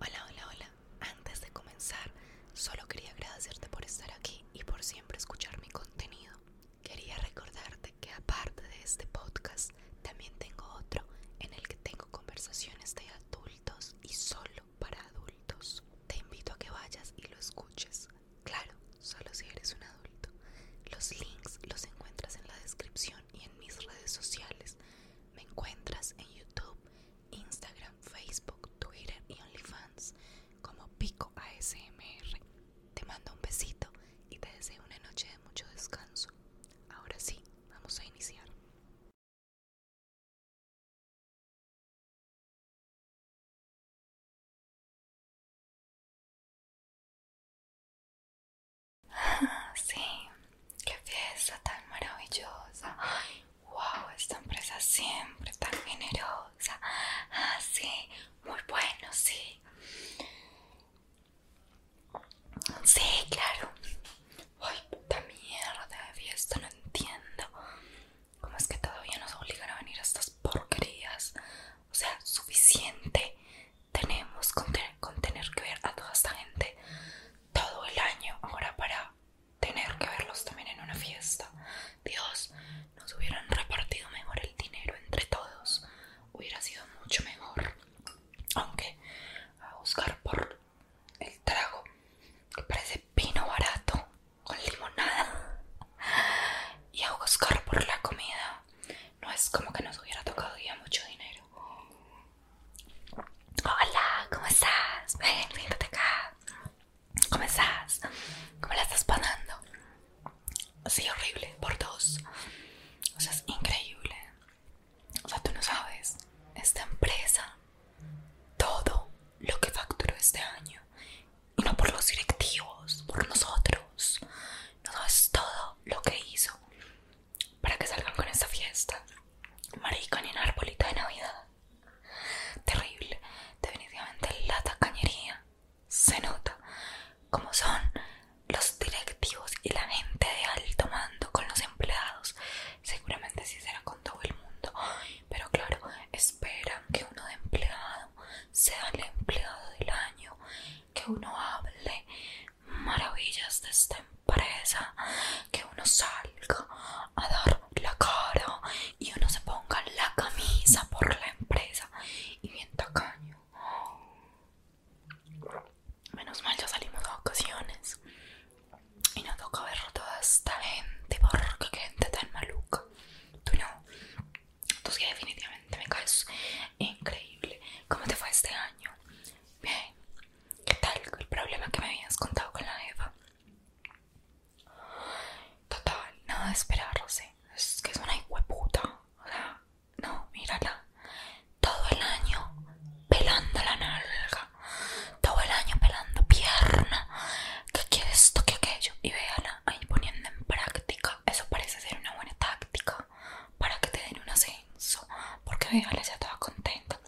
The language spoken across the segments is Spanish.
Hola, hola, hola. Antes de comenzar, solo quería agradecerte por estar aquí y por siempre escuchar mi contenido. Quería recordarte que aparte de este podcast, también tengo otro en el que tengo conversaciones de adultos y solo para adultos. Te invito a que vayas y lo escuches. Claro, solo si eres un adulto. Los links los encuentras en la descripción y en mis redes sociales. Me encuentras en YouTube, Instagram, Facebook, Twitter y OnlyFans como Pico ASMR. Te mando un besito y te deseo una noche de mucho descanso. Ahora sí, vamos a iniciar. Sí, qué fiesta tan maravillosa. Ay, wow, esta empresa siempre tan generosa. Ah, sí, muy bueno, sí. Sí, claro. Ay, puta mierda de fiesta, no entiendo. ¿Cómo es que todavía nos obligan a venir a estas porquerías? O sea, suficiente tenemos con, tener que ver a toda esta gente todo el año ahora para tener que verlos también en una fiesta. Dios, nos hubieran repartido mejor el dinero entre todos. Hubiera sido mucho mejor. Aunque a buscar por el trago que parece vino barato con limonada y a buscar por la comida no es como que nos hubiera tocado ya mucho dinero. Hola, ¿cómo estás? Ven, siéntate acá. ¿Cómo estás? ¿Cómo la estás pagando? Sí, horrible, por dos. O sea, es increíble. O sea, tú no sabes. Esta empresa, todo lo que facturó este año y no por los directivos, por nosotros. No es todo lo que hizo para que salgan con esta fiesta. maricón y un arbolito de Navidad. Terrible. Definitivamente la tacañería se nota como son los directivos y la gente de alto mando con los empleados. Seguramente si será con todo el mundo. Pero claro, esperan que uno de empleado sea el empleado del año, que uno hable maravillas de esta empresa, que uno salga a dar la cara y uno se ponga la camisa por la empresa y bien caño Menos mal ya salimos dos ocasiones y no toca ver toda esta gente porque qué gente tan maluca. Tú no. Entonces definitivamente me caes increíble. ¿Cómo te fue este año? Bien. ¿Qué tal el problema que me habías contado con la Eva? Total, nada de esperar, Es que es una hueputa. O sea, no, mírala. Todo el año pelando la nalga. Todo el año pelando pierna. ¿Qué quieres esto, que aquello? Y véala ahí poniendo en práctica. Eso parece ser una buena táctica para que te den un ascenso. Porque Vegala ya estaba contenta.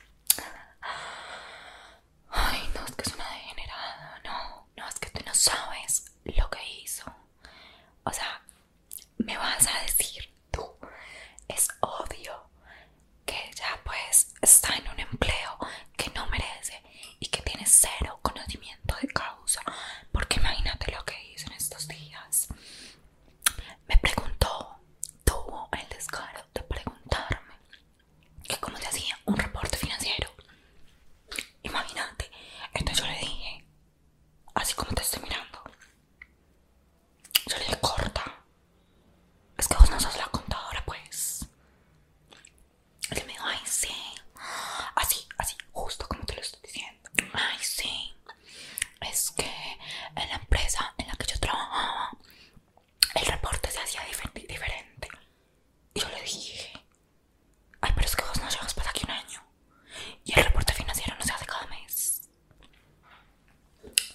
Ay, no, es que es una degenerada. No, no, es que tú no sabes lo que hizo. O sea, me vas a decir tú, es obvio que ella pues está en un empleo que no merece y que tiene cero conocimiento de causa, porque imagínate lo que hizo en estos días. Me preguntó, tuvo el descaro de preguntarme que cómo se hacía un reporte financiero. Imagínate, entonces yo le dije, así como te estoy mirando, yo le dije corta, es que vos no sos la contadora pues. Y me dijo, ay, sí. Así, así, justo como te lo estoy diciendo. Ay, sí. Es que en la empresa en la que yo trabajaba, el reporte se hacía diferente. Y yo le dije, ay, pero es que vos no llevas para aquí un año. Y el reporte financiero no se hace cada mes.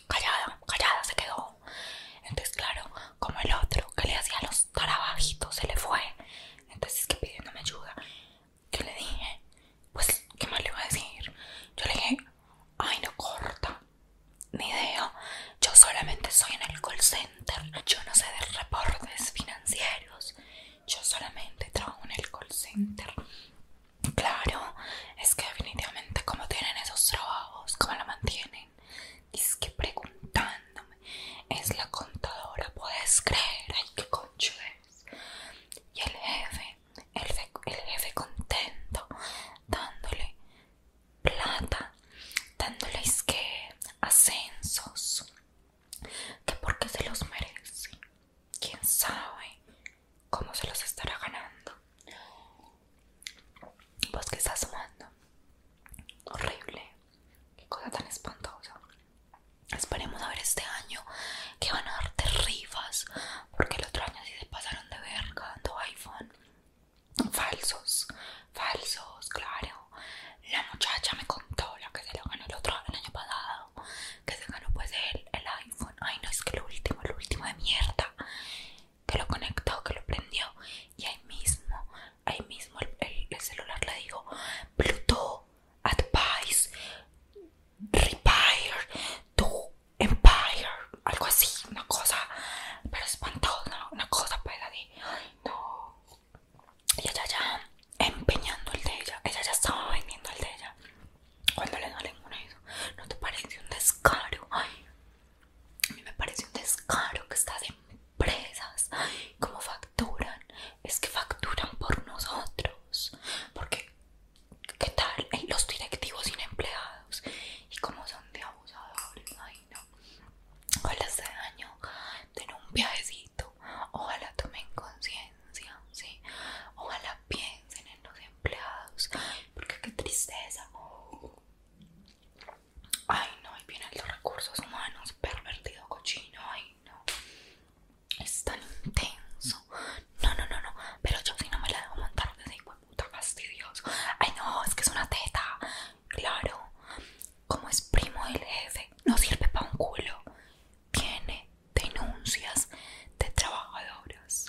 Callada, callada se quedó. Entonces, claro, como el otro que le hacía los trabajitos se le fue. Entonces, que pidiéndome ayuda, yo le dije, pues, ¿qué más le iba a decir? Yo le dije, ay, no corta, ni idea. Yo solamente soy en el call center, yo no sé de reportes financieros, yo solamente trabajo en el call center. Claro, es que definitivamente como tienen esos trabajos, como lo mantienen y Dice que preguntándome. Es la contadora, puedes creer. Ay, qué concho Y el jefe, el, jefe contento, dándole plata, dándole que ascensos. Que porque se los merece. Quién sabe cómo se los estará ganando. Vos pues, que estás sumando Horrible. Qué cosa tan espantosa. Esperemos a ver este año que van a darte rifas. Porque el otro año sí se pasaron de verga dando iPhone. Falsos. Falsos, claro. La muchacha me contó la que se lo ganó el otro año pasado. Que se ganó pues el, el iPhone. Ay no, es que el último, el último de mierda que lo conectó, que lo prendió y ahí mismo, ahí mismo el, celular le dijo Bluetooth, advice, repair, to empire, algo así, una cosa, pero espantosa, una cosa para de, y ella ya empeñando el de ella, ella ya estaba vendiendo el de ella, cuando le salen una eso, no te parece un descaro, ay a mí me parece un descaro que estas empresas, como facturan, es que facturan por nosotros. Porque, ¿qué tal? los directivos sin empleados y como son de abusadores, ay no. Ojalá este año den un viajecito, ojalá tomen conciencia, ¿sí? Ojalá piensen en los empleados, porque qué tristeza. Ay, no, ahí vienen los recursos humanos, pervertido cochino, ay, no. Es tan intenso. No, no, no, no. Pero yo si no me la dejo montar desde hijo de puta fastidioso. Ay, no, es que es una teta. Claro. Como es primo del jefe, no sirve para un culo. Tiene denuncias de trabajadoras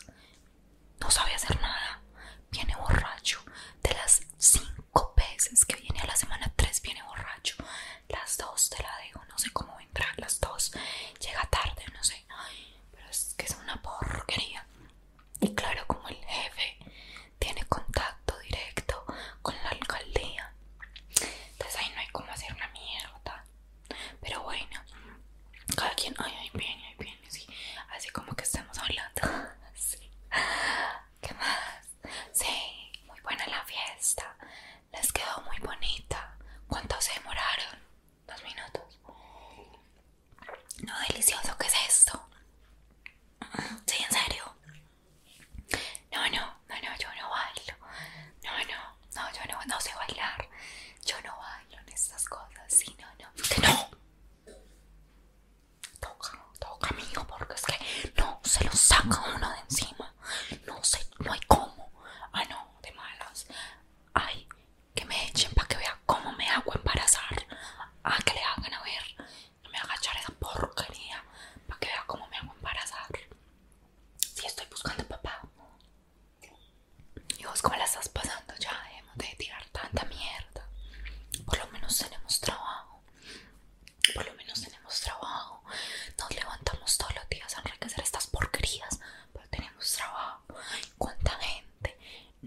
no sabe hacer nada, viene borracho, de las cinco veces que viene a la semana tres viene borracho, las dos te la digo no sé cómo entrar, las dos, llega tarde, no sé, pero es que es una porquería. Y claro, como el jefe tiene contacto directo con la alcaldía, entonces ahí no hay cómo hacer una mierda. Pero bueno, cada quien, ay, ay, bien, ay, bien así, como que estamos hablando. ¿Qué más? Sí, muy buena la fiesta. Les quedó muy bonita. ¿Cuánto se demoraron? Dos minutos. No, delicioso, ¿qué es esto? Sí, en serio. No, no, no, no, yo no bailo. No, no, no, yo no, sé bailar. Yo no bailo en estas cosas. Sí, no, no. No, Toca, toca, amigo porque es que no se lo saca uno de encima. No sé, no hay cómo. Ah, no, de malas. Ay, que me echen para que vea cómo me hago embarazar. Ah, que le hagan a ver. Que me haga echar esa porquería para que vea cómo me hago embarazar. Si estoy buscando papá. Y vos, ¿cómo la estás pasando? Ya hemos de tirar tanta mierda. Por lo menos tenemos trabajo. Por lo menos tenemos trabajo. Nos levantamos todos los días a enriquecer estas porquerías. Pero tenemos trabajo. ¿Cuánta gente?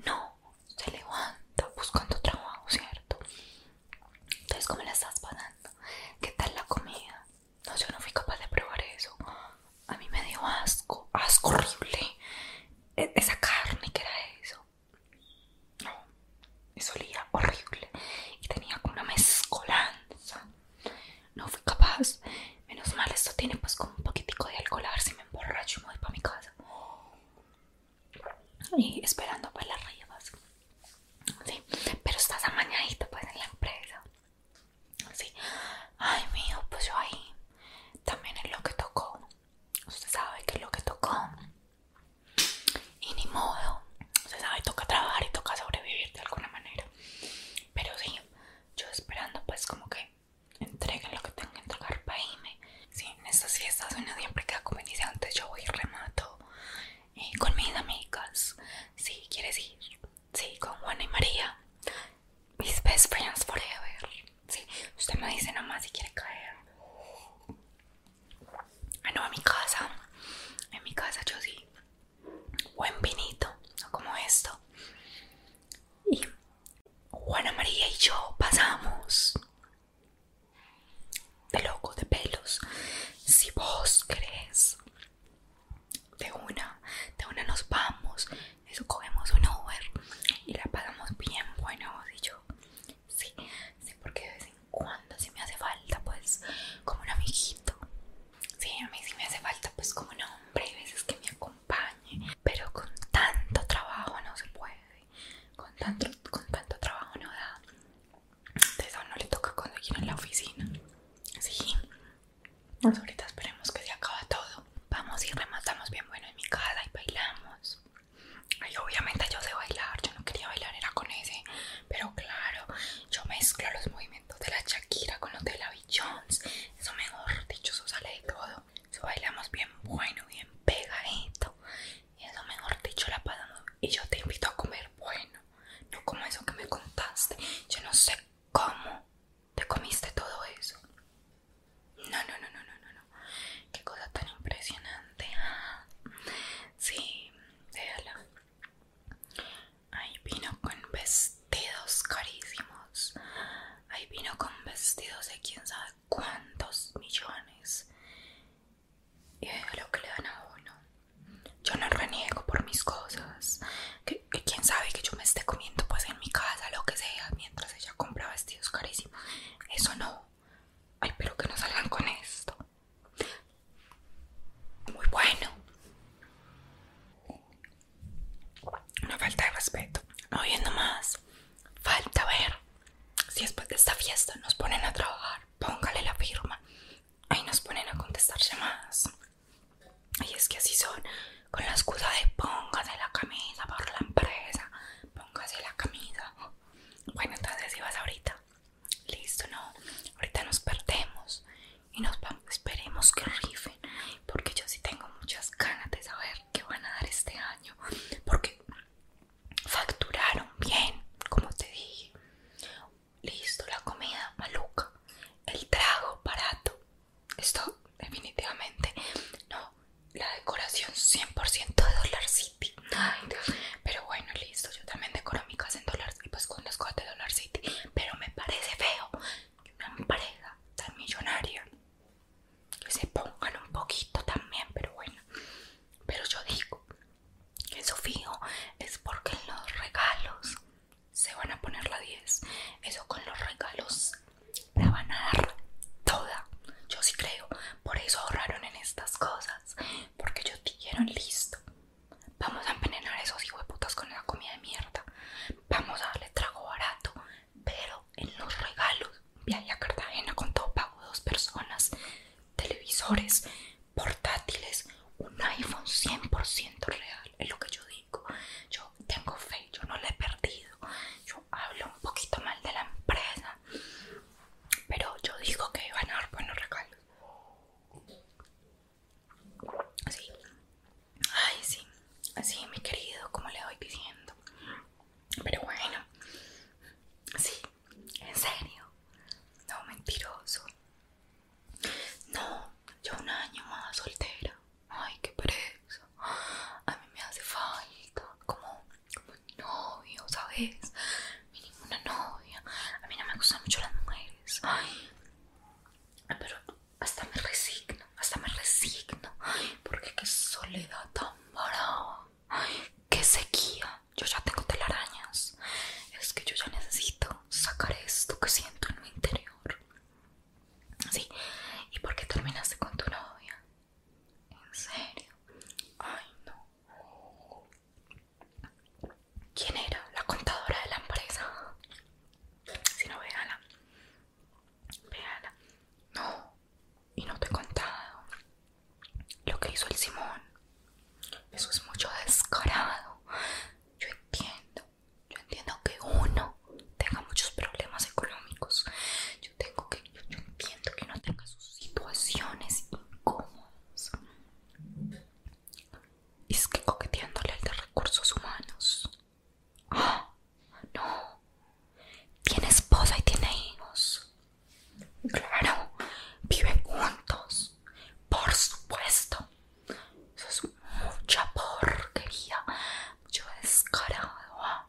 No, se levanta buscando trabajo, ¿cierto? Entonces, ¿cómo la estás pasando? ¿Qué tal la comida? No, yo no fui capaz de probar eso a mí me dio asco, asco horrible. E, esa carne que era eso. No, eso olía horrible. Y tenía como una mezcolanza. No fui capaz. Menos mal, esto tiene pues como un poquitico de alcohol. A ver si me emborracho y me voy para mi casa. Y esperando para pues, las rayas. Sí, pero estás amañadito pues en la empresa. Sí. Ay, mío, pues yo ahí también es lo que tocó. Usted sabe que es lo que tocó. Y ni modo. Usted sabe, toca trabajar y toca sobrevivir de alguna manera. Pero sí, yo esperando pues como que entreguen lo que tengo que entregar para irme. Sí, en estas fiestas uno siempre queda como dice antes, yo voy y remato y eh, con mis amigas. ¿Sí, quieres ir, sí, con Juana y María. Mis best friends forever. Sí, usted me dice nomás si quiere caer. a ah, no, a mi casa. En mi casa yo sí. Buen vinito, no como esto. Y Juana María y yo pasamos de loco de pelos. Si vos crees de una, de una nos vamos, eso cogemos un Uber y la pagamos bien bueno, vos y yo, sí, sí, porque de vez en cuando si me hace falta, pues, como un amiguito, sí, a mí si me hace falta, pues, como un hombre, y veces que me acompañe, pero con tanto trabajo no se puede, con tanto, con tanto trabajo no da, entonces a no le toca conseguir en la oficina, sí, pues ahorita esperemos que se acabe todo. Vamos y rematamos bien bueno en mi casa y bailamos. Ay, obviamente yo sé bailar, yo no quería bailar, era con ese. Pero claro, yo mezclo los movimientos de la Shakira con los de la B. Eso mejor dicho, eso sale de todo. Eso bailamos bien bueno, bien pegadito. Eso mejor dicho, la pasamos. Y yo te invito a comer bueno. No como eso que me contaste. Yo no sé cómo ¿Te comiste todo eso? No, no, no, no, no, no. Qué cosa tan impresionante. Sí, déjala. Ahí vino con vestidos carísimos. Ahí vino con vestidos de quién sabe cuántos millones. Y lo que le dan a uno. Yo no reniego por mis cosas quién sabe que yo me esté comiendo pues en mi casa lo que sea mientras ella compra vestidos carísimos. Eso no. Ay, pero que no salgan con esto. Muy bueno. Una falta de respeto. No viendo más. Falta ver. Si después de esta fiesta nos ponen a trabajar, póngale la firma. Ahí nos ponen a contestar llamadas. Y es que así son, con la excusa de póngase la camisa por la empresa, póngase la camisa. Bueno, entonces vas ahorita. Listo, no. Ahorita nos perdemos y nos vamos. Esperemos que rifen, porque yo sí tengo muchas ganas de saber qué van a dar este año, porque facturaron bien, como te dije. Listo, la comida maluca, el trago barato, esto definitivamente no. La decoración 100% de Dollar City. Ay, Pero bueno, listo. Yo también decoro mi casa en Dollar City, pues con las cosas de Dollar City. Pero me parece feo que una pareja tan millonaria que se pongan un poquito también. Pero bueno, pero yo digo que eso fijo es porque en los regalos se van a poner la 10. Eso con los regalos la van a dar toda. Yo sí creo. Por eso ahorraron en estas cosas. Porque yo dijeron listo. Vamos a envenenar a esos hijueputas con la comida de mierda. Vamos a darle trago barato. Pero en los regalos. Viaje a Cartagena con todo pago dos personas. Televisores, portátiles, un iPhone 100% real, es lo que yo digo. Yo tengo fe, yo no la he perdido. Yo hablo un poquito mal de la empresa, pero yo digo que van a dar buenos regalos. Sí, ay, sí, así, mi querido, como le voy diciendo. Pero bueno, sí, en serio, no mentiroso. No, yo un año más soltera. Ay, qué preso. A mí me hace falta como, como un novio, ¿sabes? Ni ninguna novia. A mí no me gustan mucho las mujeres. Ay, pero hasta me resigno, hasta me resigno. porque qué soledad tan brava. Ay, qué sequía. Yo ya tengo telarañas. Es que yo ya necesito sacar esto que siento en mi interior. Sí, ¿y por qué terminaste con tu novia? ¿En serio? Ay, no. ¿Quién era? La contadora de la empresa. Si no, véala. la. No, y no te he contado lo que hizo el Simón. Eso es mucho descarado yo entiendo, yo entiendo que uno tenga muchos problemas económicos, yo tengo que, yo, entiendo que uno tenga sus situaciones incómodas. Es que coqueteándole el de recursos humanos. Ah, no. Tiene esposa y tiene hijos. Claro, viven juntos. Por supuesto. Eso es mucha porquería, mucho descarado. ¿ah?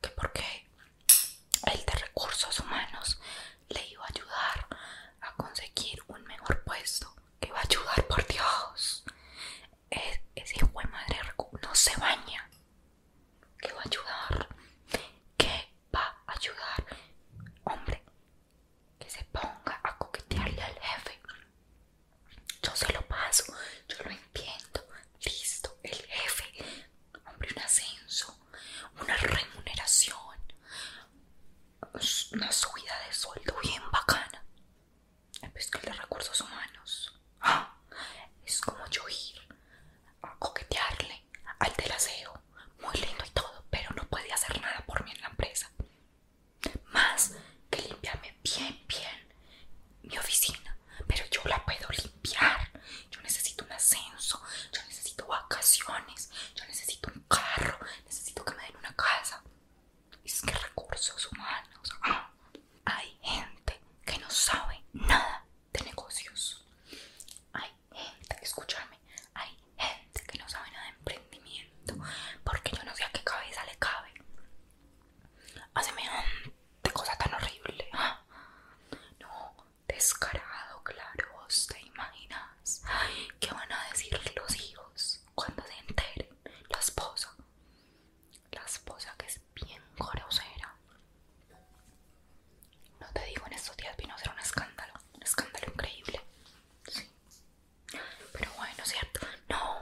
Que porque el de recursos humanos le iba a ayudar a conseguir un mejor puesto. Que va a ayudar, por Dios. ese hijo madre no se baña. Que va a ayudar. Que va a ayudar. Hombre, que se ponga a coquetearle al jefe. Yo se lo paso, yo lo entiendo. Listo, el jefe, hombre, un ascenso, una remuneración, una subida de sueldo bien bacana. Es que el de recursos humanos ¡ah! es como yo ir a coquetearle al del muy lindo y todo, pero no puede hacer nada por mí en la empresa. Más que limpiarme bien, bien mi oficina, pero yo la puedo limpiar. Yo necesito un ascenso, yo necesito vacaciones, yo necesito un carro, necesito que me den una casa. Es que recursos humanos. Ah. hay gente que no sabe nada de negocios. Hay hay gente, escúchame, hay gente que no sabe nada de emprendimiento porque yo no sé a qué cabeza le cabe a semejante cosa tan horrible. No, descarado, claro, vos te imaginas qué van a decir los hijos cuando se enteren la esposa, la esposa que es bien grosera. No te digo, en estos días vino a ser un escándalo, un escándalo increíble. Pero bueno, ¿cierto? No,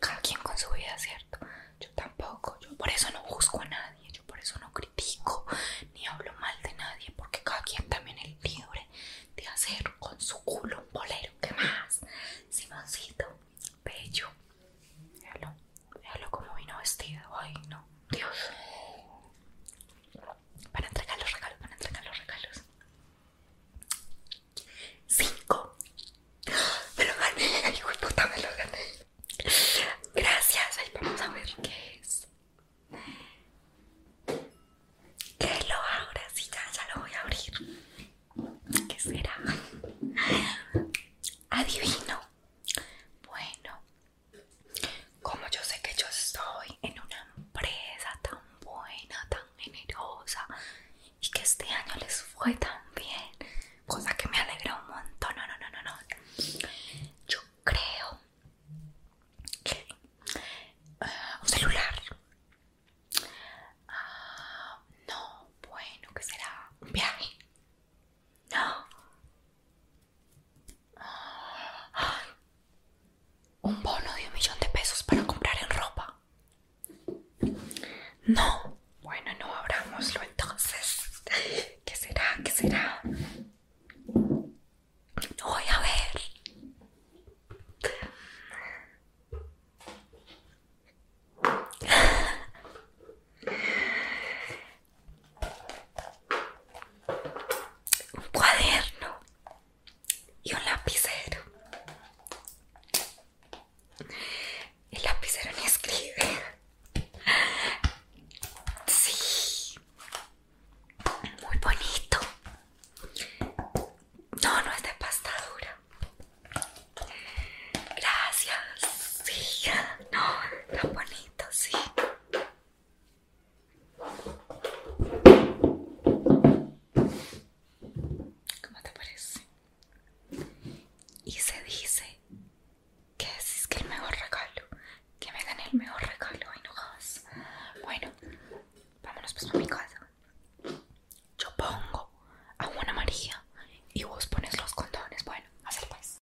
cada quien con su vida, ¿cierto? Yo tampoco, yo por eso no busco a nadie, yo por eso no critico ni hablo mal de nadie, porque cada quien también es libre de hacer con su culo un bolero. ¿Qué más? Simoncito, bello. Véalo, véalo como vino vestido. Ay, no, Dios para entregar los regalos, para entregar los regalos. Cinco. Me lo gané, ay, hijo puta, me lo gané. Gracias, ahí vamos a ver qué es. ¿Qué lo ahora? si ya, ya lo voy a abrir. ¿Qué será? Adivino. Bueno, como yo sé que yo estoy en una empresa tan buena, tan generosa y que este año les fue tan bien, cosa que me alegra un montón. No, no, no, no, no. Yo creo que eh, un celular. Ah, no, bueno, ¿qué será? Un viaje. No, un bono de un millón de pesos para comprar en ropa. No. Bueno, no abramoslo entonces. ¿Qué será? ¿Qué será? Voy a ver un cuaderno y un lapicero. El lapicero ni escribe. Sí, muy bonito. No, no es de pastadura Gracias. Sí, no, tan bonito, sí. ¿Cómo te parece? Y se dice que es que el mejor regalo, que me dan el mejor regalo, ay Bueno, vámonos pues a mi casa. Yo pongo a amarilla María y vos pones los condones. Bueno, hacer pues.